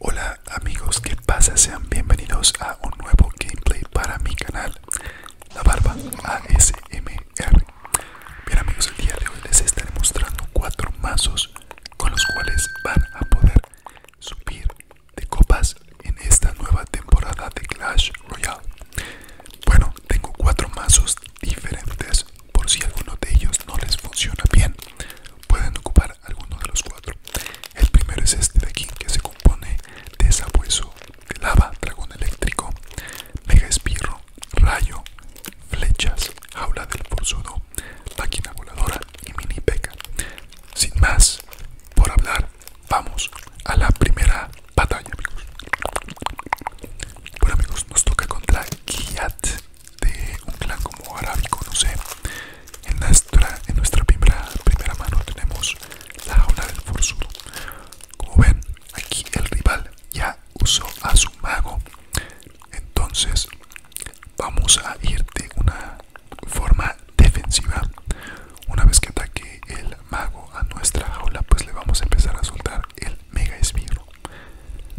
Hola amigos, ¿qué pasa? Sean bienvenidos a un nuevo gameplay para mi canal La Barba ASMR. Bien amigos, el día de hoy les estaré mostrando cuatro mazos con los cuales van a poder subir de copas en esta nueva temporada de Clash Royale. Bueno, tengo cuatro mazos diferentes. Por si alguno de ellos no les funciona bien, pueden ocupar alguno de los cuatro. El primero es este de aquí, que se compone de sabueso de lava, dragón eléctrico, mega espirro, rayo, flechas, jaula del forzudo Máquina Voladora y Mini Peca. Sin más por hablar, vamos a la primera batalla, amigos. Bueno, amigos, nos toca contra Kiat de un clan como árabe, no sé. En nuestra, en nuestra primera, primera mano tenemos la jaula del forzudo. Como ven, aquí el rival ya usó a su mago. Entonces, vamos a ir de una forma defensiva. Una vez que ataque el mago a nuestra jaula, pues le vamos a empezar a soltar el mega espirro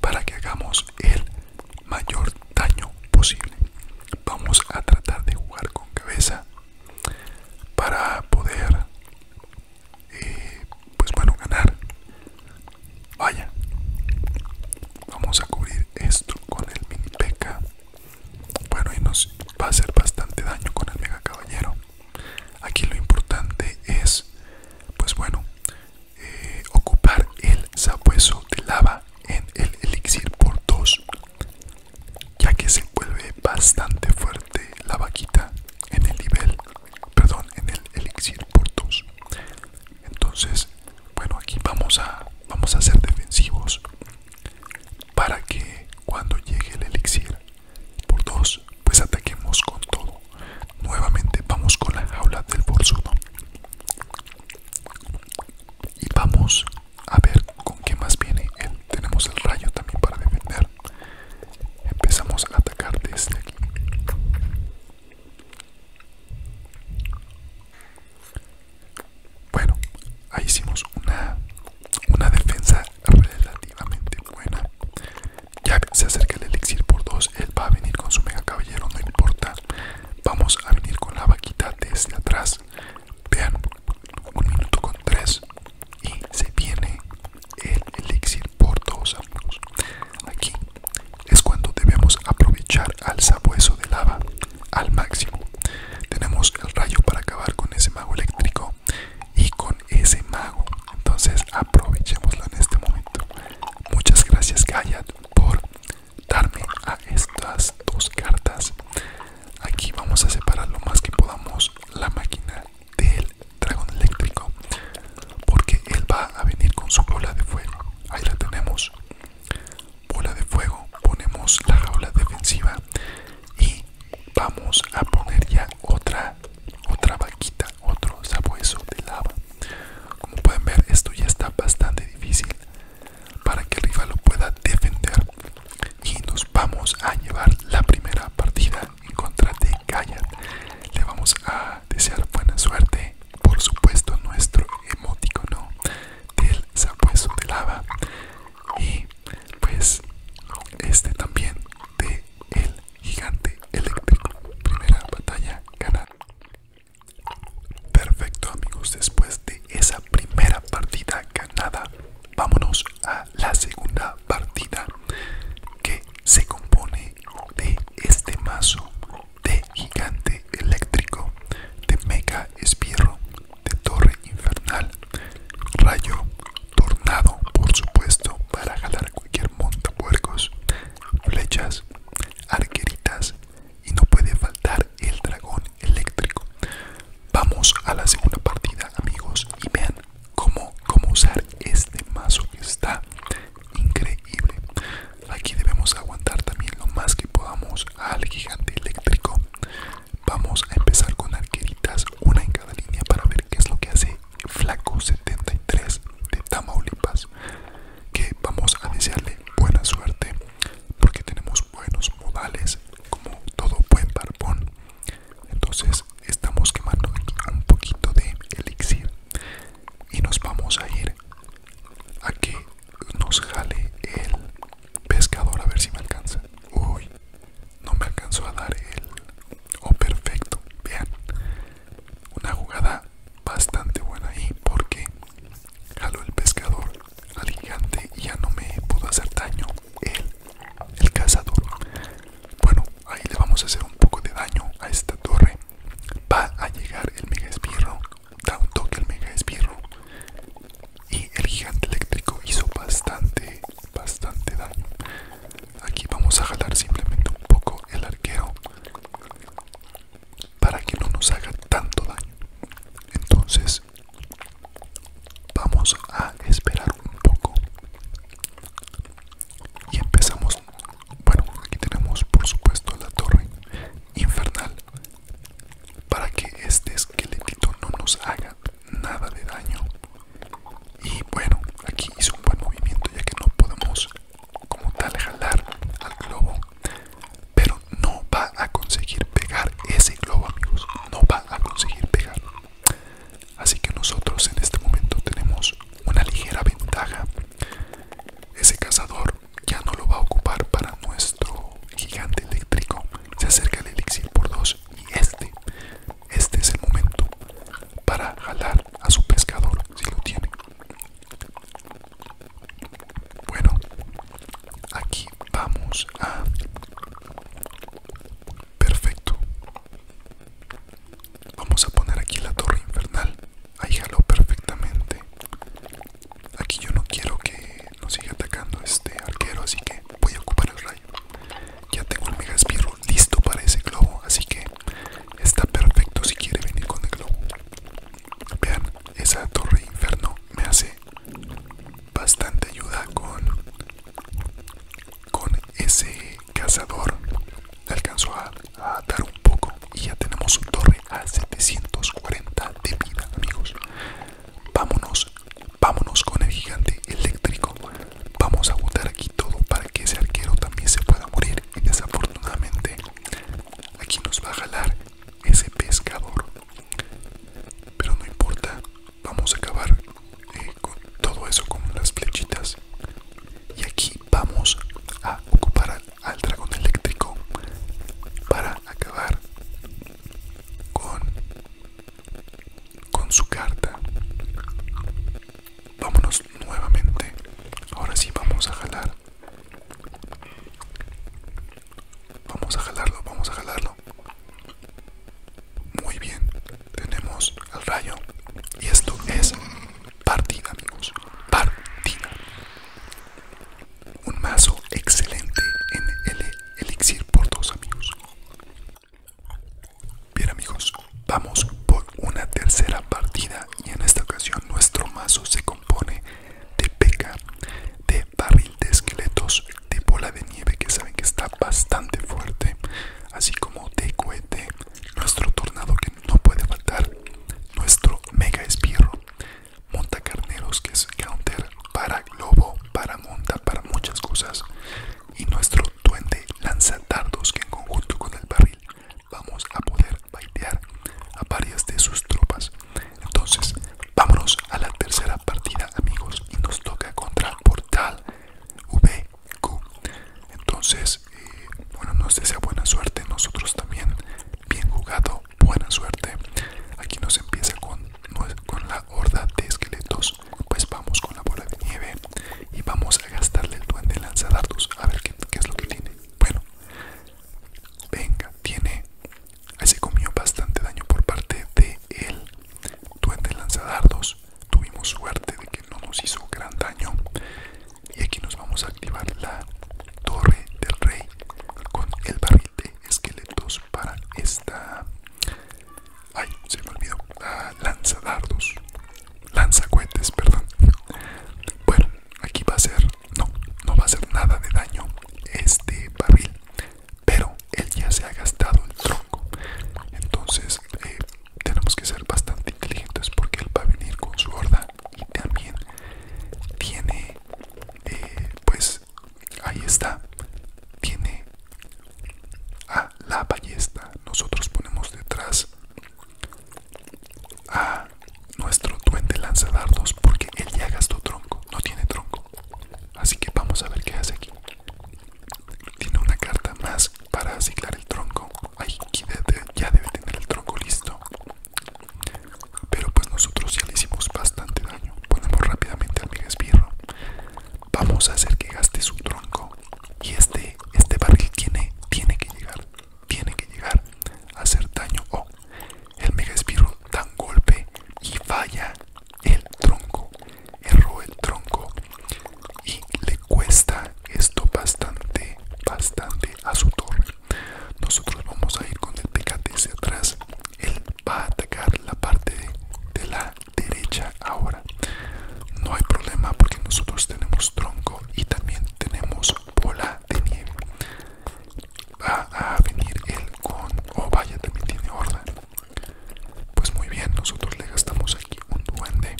para que hagamos el mayor daño posible. Vamos a tratar de jugar con cabeza para poder, eh, pues bueno, ganar. Vaya, vamos a cubrir esto con el mini peca. Bueno, y nos va a hacer bastante daño con el mega caballero. Aquí lo importante es, pues bueno, eh, ocupar el sabueso de lava en el elixir por 2, ya que se vuelve bastante fuerte la vaquita en el nivel, perdón, en el elixir por 2. Entonces, bueno, aquí vamos a vamos a ser defensivos para que cuando llegue el elixir por dos, pues ataquemos con todo. Nuevamente vamos con la jaula del forzudo. Y vamos a ver con qué más viene Tenemos el rayo también para defender. Empezamos a atacar desde aquí. Bueno, ahí hicimos una, una defensa relativamente buena. Ya se acerca el elixir por dos. Él va a venir con su mega caballero, no importa. Vamos a venir con la vaquita desde atrás. Vean, un minuto con tres. Y se viene el elixir por dos, amigos. Aquí es cuando debemos aprovechar al sabueso de lava al máximo. Tenemos el rayo para acabar con ese mago eléctrico y con ese mago. Entonces aprovechémoslo en este momento. Muchas gracias Gaiat por darme a estas dos cartas. Aquí vamos a separar lo más que podamos la máquina del dragón eléctrico. Porque él va a venir con su bola de fuego. Ahí la tenemos bola de fuego, ponemos la jaula defensiva y vamos a poner ya otra otra vaquita, otro sabueso de lava. Como pueden ver, esto ya está bastante difícil para que el rival lo pueda defender. Y nos vamos a llevar la primera partida en contra de Gaia. Le vamos a desear buena suerte por supuesto nuestro emoticono del sabueso de lava y pues este también de el gigante eléctrico primera batalla ganada perfecto amigos después de esa primera partida ganada vámonos a la segunda partida que se compone de este mazo de gigante eléctrico, de mega espierro, de torre infernal, rayo, tornado, por supuesto, para jalar cualquier puercos, flechas, arqueritas y no puede faltar el dragón eléctrico. Vamos a la segunda partida, amigos, y vean cómo, cómo usar este mazo que está increíble. Aquí debemos aguantar también lo más que podamos al gigante eléctrico. Vamos a empezar con arqueritas, una en cada línea para ver qué es lo que hace Flaco 73 de Tamaulipas. Que vamos a desearle buena suerte porque tenemos buenos modales como todo buen barbón. Entonces estamos quemando un poquito de elixir y nos vamos a ir aquí nos jale el pescador a ver si me alcanza. Uy, no me alcanzó a dar el... o oh, perfecto. Vean, una jugada bastante buena ahí porque jaló el pescador al gigante y ya no me pudo hacer daño el, cazador. Bueno, ahí le vamos a hacer un poco de daño a esta torre. Va a llegar el mega espirro tanto que el mega esbirro y el gigante eléctrico hizo bastante bastante daño aquí vamos a jalar simplemente un poco el arquero para que no nos haga tanto daño entonces vamos a esperar un poco y empezamos bueno, aquí tenemos por supuesto la torre infernal para que este esqueletito no nos haga nada de daño. Y bueno, aquí hizo un buen movimiento ya que no podemos como tal jalar al globo, pero no va a conseguir pegar ese globo, amigos. No va a conseguir pegar. Así que nosotros en este momento tenemos una ligera ventaja. Ese cazador ya no lo va a ocupar para nuestro gigante eléctrico. Se acerca el elixir por dos y este, este es el momento para jalar a su pescador si lo tiene. Bueno, aquí vamos a... Perfecto. Vamos a poner aquí la torre infernal. Ahí jaló perfectamente. Aquí yo no quiero que nos siga atacando este arquero, así que voy a ocupar el rayo. Ya tengo el mega listo para ese globo, así que está perfecto si quiere venir con el globo. Vean, esa torre inferno me hace bastante ayuda con, con ese cazador. Alcanzó a a atar un poco y ya tenemos un torre a 740 de vida amigos vámonos vámonos con el gigante eléctrico vamos a botar aquí todo para que ese arquero también se pueda morir y desafortunadamente aquí nos va a jalar ese pescador pero no importa vamos a acabar eh, con todo eso con las flechitas y aquí vamos a ocupar al dragón eléctrico para acabar con, su carta. Vámonos nuevamente. Ahora sí vamos a jalar. Vamos a jalarlo, vamos a jalarlo. Muy bien, tenemos al rayo. Y esto es Partida, amigos. Partida. Un mazo excelente en el elixir por dos, amigos. Bien, amigos, vamos por una tercera partida y en esta ocasión nuestro mazo se compone de peca, de barril de esqueletos, de bola de nieve que saben que está bastante fuerte, así como de cohete, nuestro tornado que no puede faltar nuestro mega espirro, monta carneros que es counter para globo, para monta, para muchas cosas, y nuestro duende lanza dardos que en conjunto con el barril vamos a poder baitear a varias de sus tropas. Entonces, vámonos a la tercera partida, amigos, y nos toca contra Portal VQ. Entonces, bueno, nos desea buena suerte. Nosotros también, bien jugado, buena suerte. Aquí nos empieza con, con la horda de esqueletos. Pues vamos con la bola de nieve y vamos a gastarle el duende lanzadardos. A ver qué, es lo que tiene. Bueno, venga, tiene. Ahí se comió bastante daño por parte de Duende lanzadardos. Tuvimos suerte de que no nos hizo gran daño y aquí nos vamos a activar la torre del rey con el barril de esqueletos para esta ay se me olvidó ah, lanza dardos lanza perdón bueno aquí va a ser no no va a hacer nada de daño este barril pero él ya se ha gastado el tronco entonces eh, tenemos que ser bastante inteligentes porque él va a venir con su horda y también tiene eh, pues ahí está tiene a la ballesta nosotros ponemos detrás a nuestro duende lanzadardos porque él ya gastó tronco no tiene tronco así que vamos a ver qué hace aquí tiene una carta más para asignar el tronco ahí ya debe tener el tronco listo pero pues nosotros ya le hicimos bastante daño. Ponemos rápidamente al mega espirro Vamos a hacer que gaste su tronco. Y este, este barril tiene, tiene que llegar. Tiene que llegar a hacer daño. o oh, el mega espirro da un golpe y falla el tronco. Erró el tronco. Y le cuesta esto bastante, bastante a su torre. Nosotros vamos a ir con el TKT hacia atrás. Él va a atacar la parte de, la derecha ahora. No hay problema porque nosotros tenemos tronco y también tenemos bola de nieve. Va a venir él con... Oh vaya, también tiene horda. Pues muy bien, nosotros le gastamos aquí un duende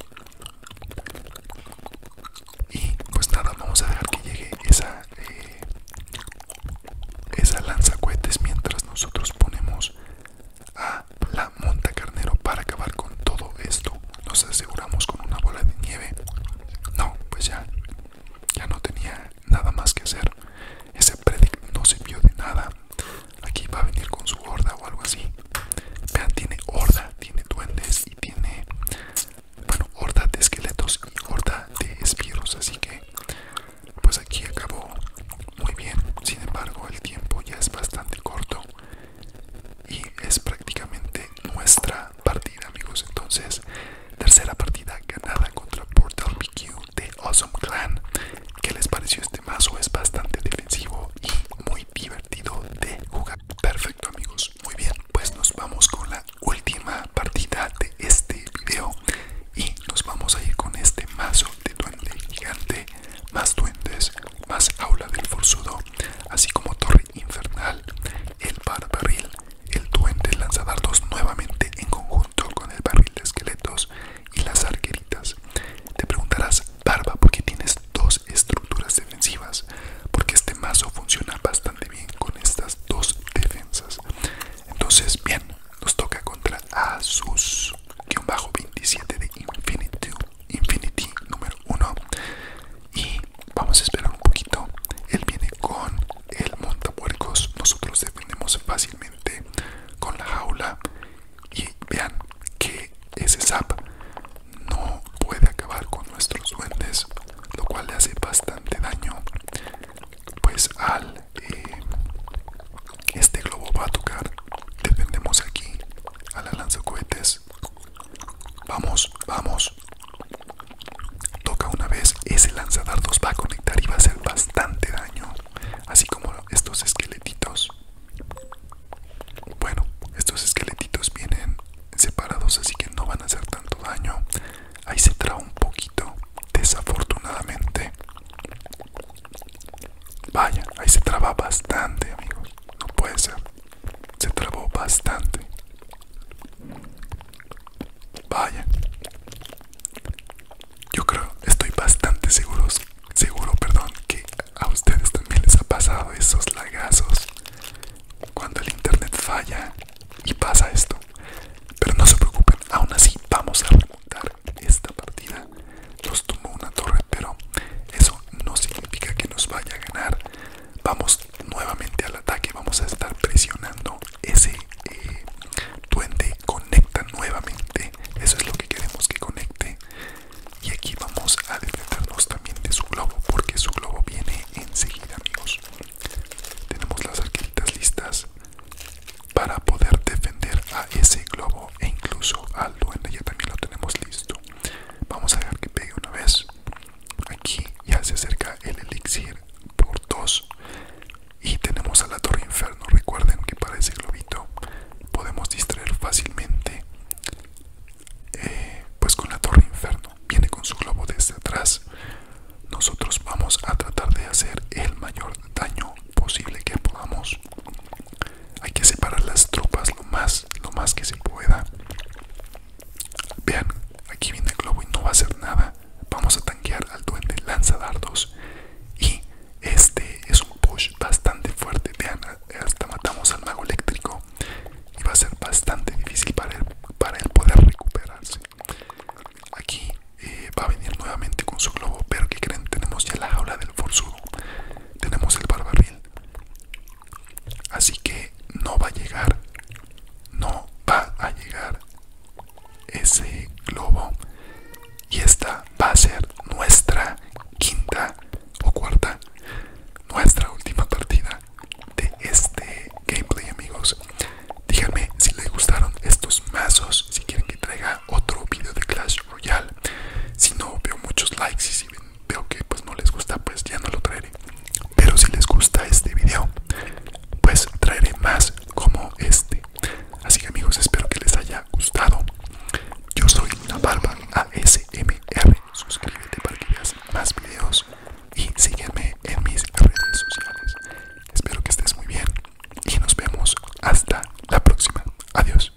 y pues nada, vamos a dejar que llegue esa, eh, esa lanza cohetes mientras nosotros ponemos a la monta carnero para acabar con todo esto. Nos aseguramos con una bola de nieve. No, pues ya, ya no tenía nada más que hacer. Ese predic no sirvió de nada. Aquí va a venir con su horda o algo así. Vean, tiene horda, tiene duendes y tiene bueno, horda de esqueletos y horda de espiros así que pues aquí acabó muy bien, sin embargo el tiempo ya es bastante corto y es prácticamente nuestra partida amigos, entonces tercera partida ganada contra Portal PQ de Awesome Clan, ¿qué les pareció este mazo? Es bastante defensivo y muy divertido de jugar, perfecto amigos muy bien pues nos vamos con la última partida de este video y nos vamos a ir con este mazo de duende gigante más duendes más aula del forzudo así como torre infernal el barbarril, el duende lanzadardos nuevamente en conjunto con el barril de esqueletos y las arqueritas te preguntarás barba porque tienes dos estructuras defensivas, porque este mazo funciona bastante bien con estas dos defensas. Entonces, bien, nos toca contra Asus-27 de Infinity, Infinity número 1. Y vamos a esperar un poquito. Él viene con el montapuercos. Nosotros defendemos fácilmente con la jaula. Y vean que ese zap no puede acabar con nuestros duendes, lo cual le hace bastante daño. Pues al eh, este globo va a tocar, defendemos aquí a la lanzacohetes. Vamos, vamos. Toca una vez, ese lanzadardos va a conectar y va a hacer bastante daño, así como estos esqueletitos. Bueno, estos esqueletitos vienen separados así que no van a hacer tanto daño ahí se traba un poquito desafortunadamente vaya ahí se traba bastante amigos no puede ser se trabó bastante vaya yo creo estoy bastante seguro seguro perdón que a ustedes también les ha pasado esos lagazos cuando el internet falla y pasa esto. Pero no se preocupen, aún así vamos a remontar esta partida. Los tomó una torre, pero eso no significa que nos vaya a ganar. Vamos nuevamente al ataque, vamos a estar presionando ese eh, duende. Conecta nuevamente, eso es lo que queremos que conecte y aquí vamos a defendernos también de su globo porque su globo viene enseguida amigos tenemos las arquitas listas para poder defender a ese globo e incluso al duende ya también lo tenemos listo vamos a dejar que pegue una vez aquí ya se acerca el elixir por dos y tenemos a la torre inferno recuerden que para ese globito podemos distraer fácilmente eh, pues con la torre inferno viene con su globo desde atrás nosotros vamos a tratar de hacer el mayor daño posible que podamos hay que separar las tropas lo más lo más que se pueda vean aquí viene el globo y no va a hacer nada vamos a tanquear al duende lanza dardos y este es un push bastante fuerte vean hasta matamos al mago eléctrico y va a ser bastante difícil para él, para poder recuperarse. Aquí eh, va a venir nuevamente con su globo, pero que creen, tenemos ya la jaula del forzudo, tenemos el barbarril, así que no va a llegar, no va a llegar ese globo y esta va a ser nuestra quinta o cuarta, nuestra última partida de este gameplay amigos Díganme si les gustaron estos mazos Si quieren que traiga otro video de Clash Royale Si no veo muchos likes y si veo que pues no les gusta pues ya no lo traeré Pero si les gusta este video pues traeré más como este Así que amigos espero que les haya gustado Yo soy Barba ASMR suscríbete para que veas más videos y sígueme en mis redes sociales. Espero que estés muy bien y nos vemos hasta la próxima. Adiós.